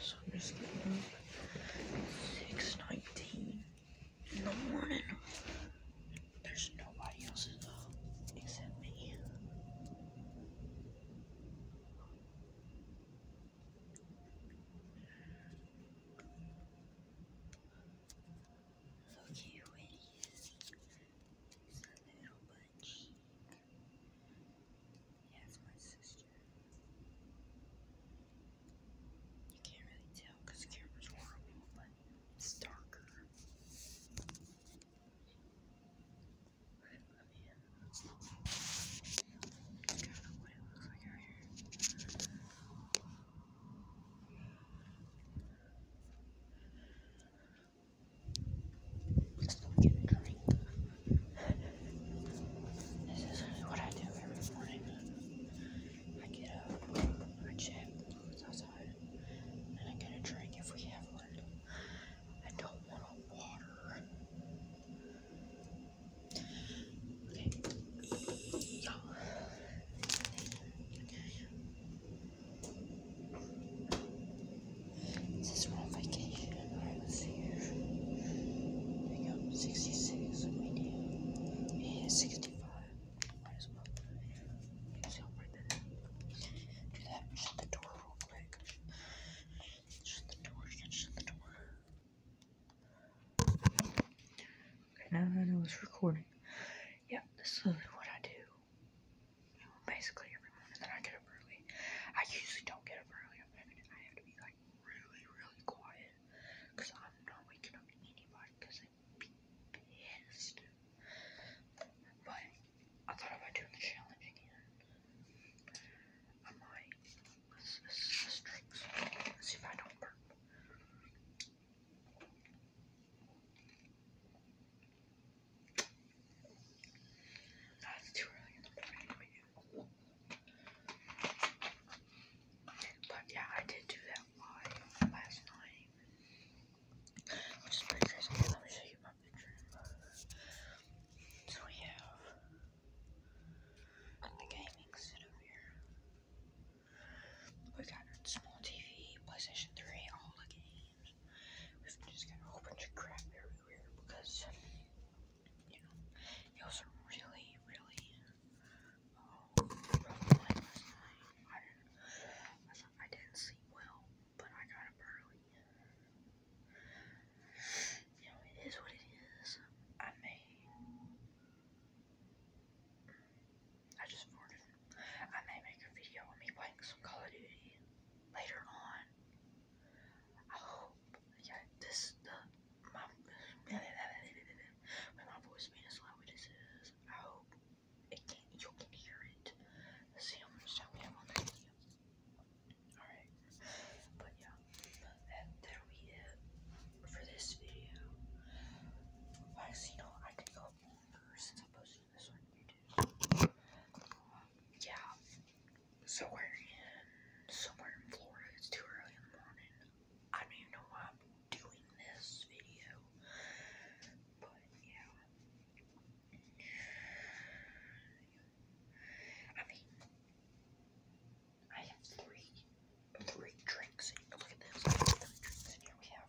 So I'm just getting up 6.19 in the morning. There's nobody else up except me. okay, who it is. a little buddy my cheek. Yes, my sister. You can't really tell the camera's horrible, but it's darker. Right, let me in. That's kind of what it looks like Please don't get this is what I do every morning. I get up, I check the clothes outside, and I get a drink if we have one. I don't want water. Okay. This one vacation I was here. Pick up 66 medium. Yeah, 65. Might as well. Let's open it. Do that. Shut the door real quick. Shut the door. Shut, shut the door. Okay, now that I know it's recording. Yeah, this is what I do you know, basically every morning. Then I get up early. I usually don't get up early. I'm having I have to be like really, really quiet because I'm not waking up anybody because I'd be pissed. But I thought about doing the challenge again. I might. Let's, let's, let's, let's see if I don't burp. Oh, too early in the morning But yeah, I did do that last night. Let me show you my picture. So we have the gaming set here. We got a small TV, PlayStation 3, all the games. Because we just got a whole bunch of crap everywhere because, you know, it was a really, really oh, I didn't, I did but I got up early. You know, it is what it is. I may. I just I may make a video of me playing some Call of Duty later on. I hope, yeah, this, the, my, my voice being as loud as I hope it can, you can hear it. see how much time Alright, but yeah, that, that'll be it for this video. Like, you know, I could go on first, I suppose. Yeah. So we're in somewhere in Florida. It's too early in the morning. I don't even know why I'm doing this video. But yeah. I mean I have three three drinks Look at this. Three drinks in here. We have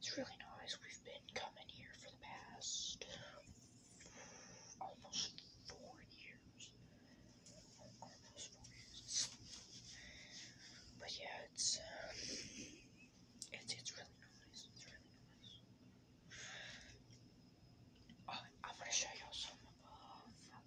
It's really nice. We've been coming here for the past almost four years. Almost four years. But yeah, it's um, it's it's really nice. It's really nice. Uh, I'm gonna show y'all some of uh,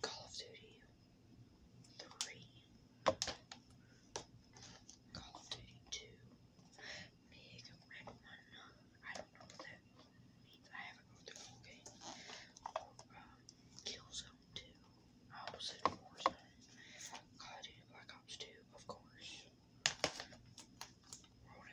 Call of Duty 3, Call of Duty 2, Big Red 1, I don't know that I haven't gone game, Killzone 2, Opposite Warzone, Call of Duty Black Ops 2, of course,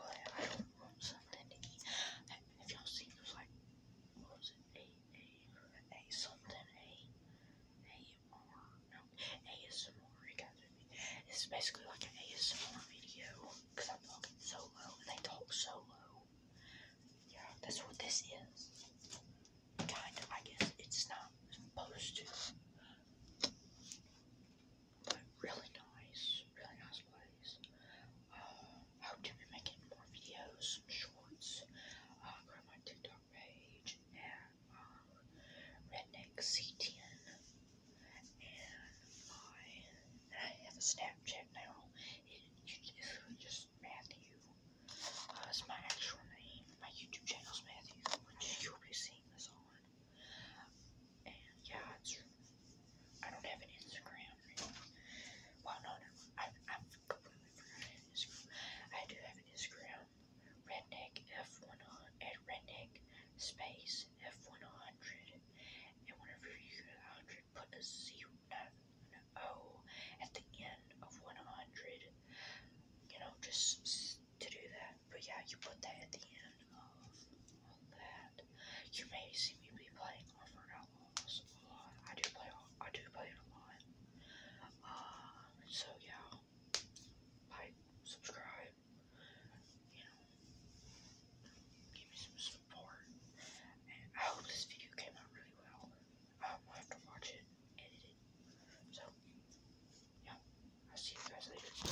but I want something to eat. If y'all see, it like, was it? A, A, A something, A, A, R, no, ASMR, you guys with me. It's basically like an ASMR video, because I'm talking so low, and they talk so low. Yeah, that's what this is. Kind of, I guess it's not supposed to. But really nice, really nice place. Uh, I how to be making more videos, shorts, uh, my TikTok page, and uh, Redneck C10, and I have a Snapchat now, it's just Matthew, that's uh, my actual name, my YouTube channel's Matthew, which you'll be seeing this on, and yeah, it's, I don't have an Instagram. Right? Well, no, no, I, I'm completely forgot an Instagram. I do have an Instagram, redneck f1 at redneck space f100. And whenever you get 100, put a zero, not an O, oh, at the end of 100. You know, just to do that. But yeah, you put that at the end that. You may see me be playing Orphan a lot. I do play I do play it a lot. Uh, so yeah. Like, subscribe, you know, give me some support. I hope this video came out really well. I have to watch it, edit it. So yeah, i see you guys later.